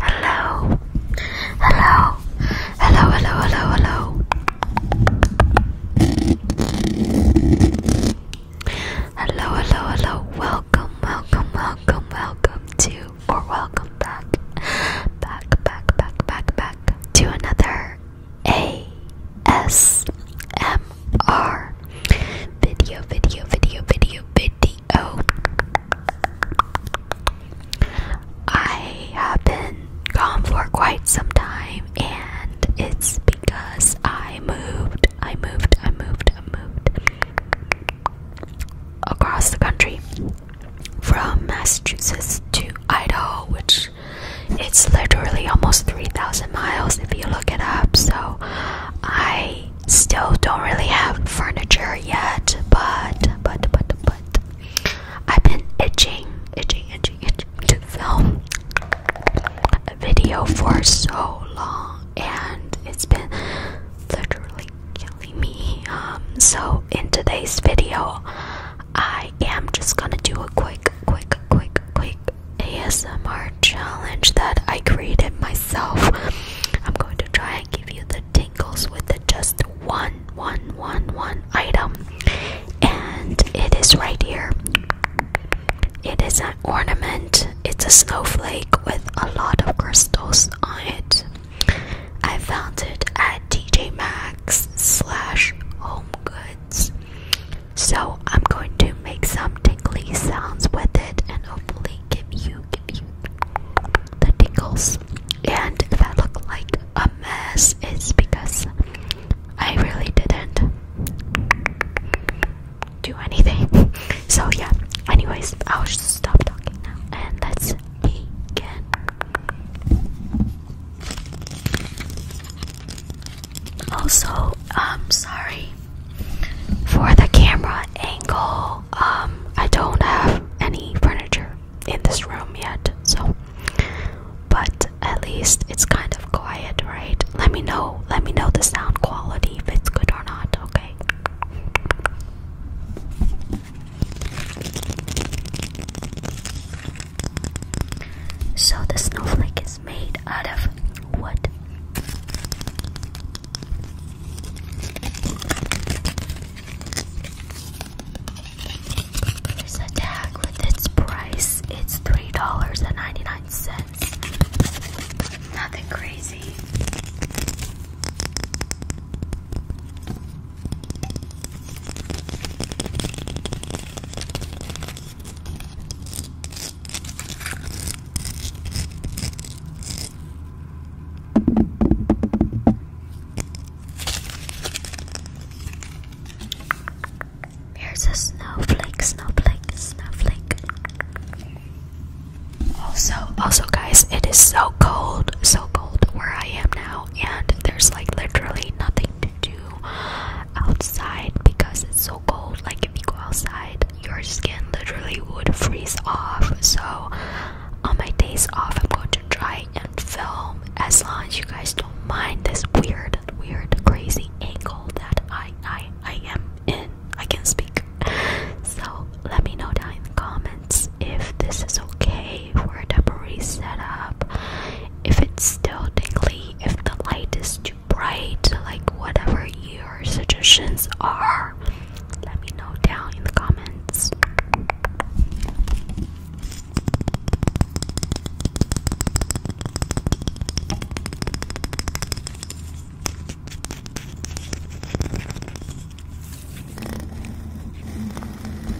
Hello. Hello. Hello, hello, hello, hello. Hello, hello, Welcome, welcome, welcome, welcome to or welcome back. Back, back, back, back, back to another ASMR more video, video, video, video, video. I have been gone for quite some time, and it's because I moved, I moved, I moved, I moved across the country from Massachusetts to Idaho, which it's literally almost 3,000 miles if you look it up. So I still don't really have furniture yet, but but but but I've been itching, itching, itching, itching to film a video for so long, and it's been literally killing me. Um, so in today's video, I am just gonna do a quick, quick, quick, quick ASMR challenge that I created myself. I'm going to try and give you the tingles with the just one, one, one, one item, and it is right here. It is an ornament. It's a snowflake with a lot of crystals on it. I found it at TJ Maxx slash Home Goods. So I'm going to make some tingly sounds with it and hopefully give you give you the tingles. And if I look like a mess, it's because I really didn't do anything. So yeah, anyways, I'll just stop talking now and let's begin. Also, I'm um, sorry for the camera angle. Um, I don't have any furniture in this room yet, so but at least it's kind of quiet, right? Let me know. Let me know the sound quality if it's good or not, okay? So the snowflake is made out of wood. Here's tag with its price. It's three dollars and ninety-nine cents. Nothing crazy. Here's a snowflake, snowflake, snowflake. Also, also guys, it is so cold, so cold where I am now, and there's like literally nothing to do outside because it's so cold. Like if you go outside, your skin literally would freeze off. So on my days off, I'm going to try and film as long as you guys don't mind this weird, weird, crazy angle that I I I am in. I can speak. So let me know down in the comments if this is okay for a temporary setup if it's still tingly, if the light is too bright, like whatever your suggestions are. Let me know down in the comments.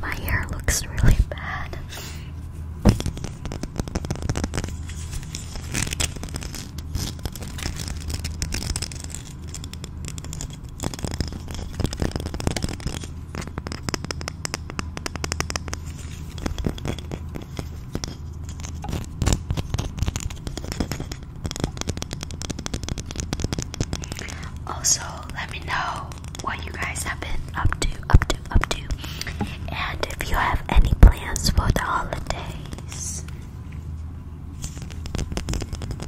My hair looks really bad. Also, let me know what you guys have been up to, up to, up to, and if you have any plans for the holidays.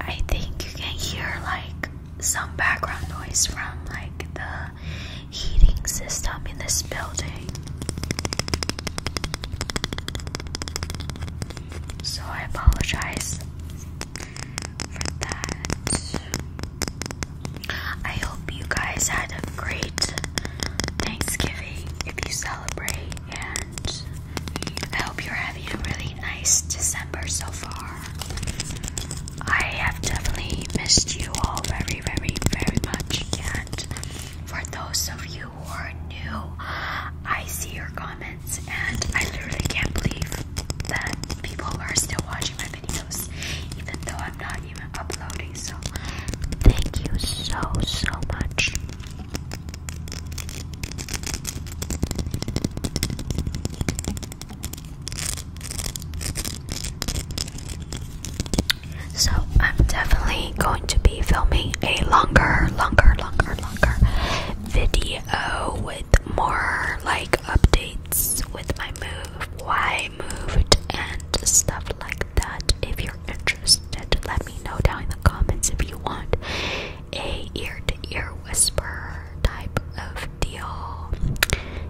I think you can hear like some background noise from like the heating system in this building. So I apologize for that. I hope you guys had a great Thanksgiving if you celebrate, and I hope you're having a really nice December so far. I have definitely missed you all very, very, very much, and for those of you who are new, I see your comments, and I literally can't believe that people are still watching my videos, even though I'm not even uploading. So thank you so so much. So I'm definitely going to be filming a longer, longer, longer, longer video with more like updates with my move, why moved and stuff like that. If you're interested, let me know down in the comments if you want a ear to ear whisper type of deal.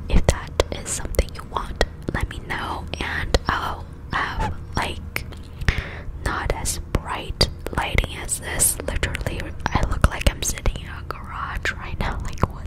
If that is something you want, let me know, and I'll have like not as bright lighting as this. Literally, I look like I'm sitting in a garage right now. Like, what?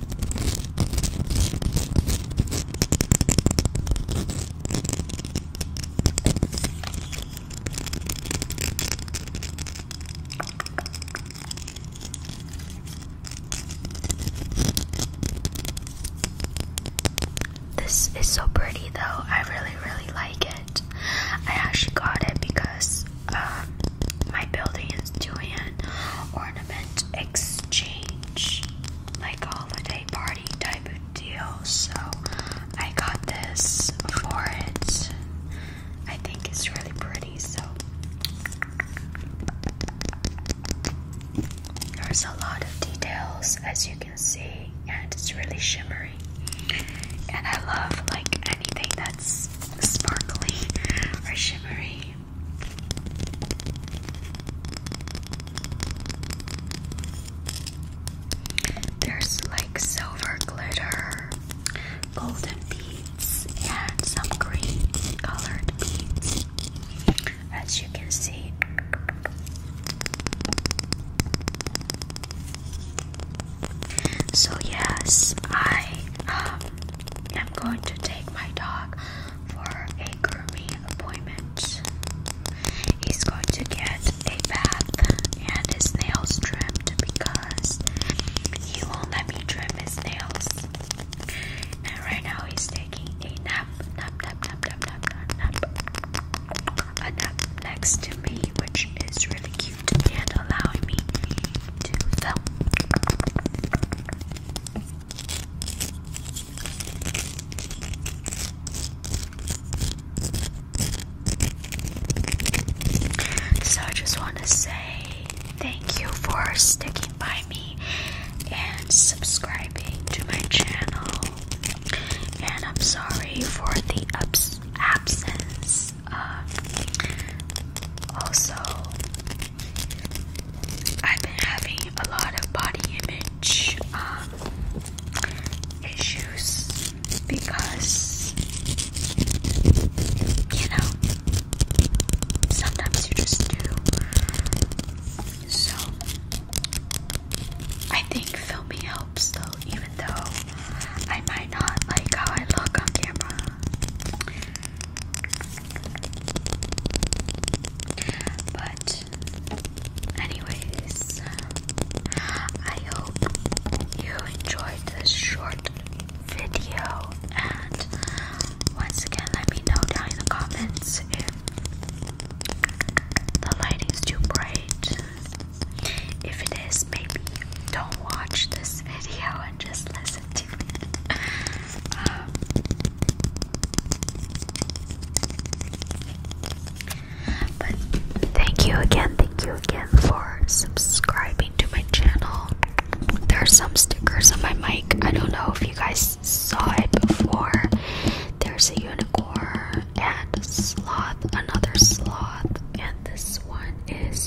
This is so pretty though. I really, really like it. I actually got it because um, my building is doing an ornament exchange, like holiday party type of deal. So I got this for it. I think it's really pretty. So there's a lot of details, as you can see, and it's really shimmery. And I love like anything that's sparkly or shimmery. There's like silver glitter, golden beads, and some green colored beads, as you can see. So, yes, I um, I'm going to take my dog for a grooming appointment. He's going to get a bath and his nails trimmed because he won't let me trim his nails. And right now he's taking a nap, nap, nap, nap, nap, nap, nap, a nap next to me, which is really cute and allowing me to film. So I just want to say thank you for sticking by me and subscribing to my channel. And I'm sorry for the abs absence um, also, I've been having a lot of body image um, issues because, you know, sometimes you just do. So, I think filming helps though, even though I might not like how I look on camera. But, anyways, I hope you enjoyed this short video. And once again, let me know down in the comments if the lighting's too bright. If it is, maybe don't watch this video and just listen. Um, thank you again, thank you again for subscribing to my channel. There are some stickers on my mic. I don't know if you guys saw it before. There's a unicorn and a sloth, another sloth, and this one is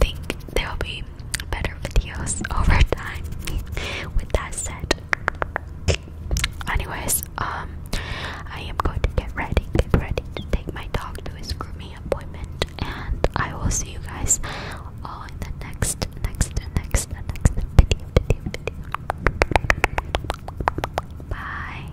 think there will be better videos over time. With that said, anyways, um, I am going to get ready, get ready to take my dog to his grooming appointment, and I will see you guys all in the next, next, next, next video, video, video. Bye.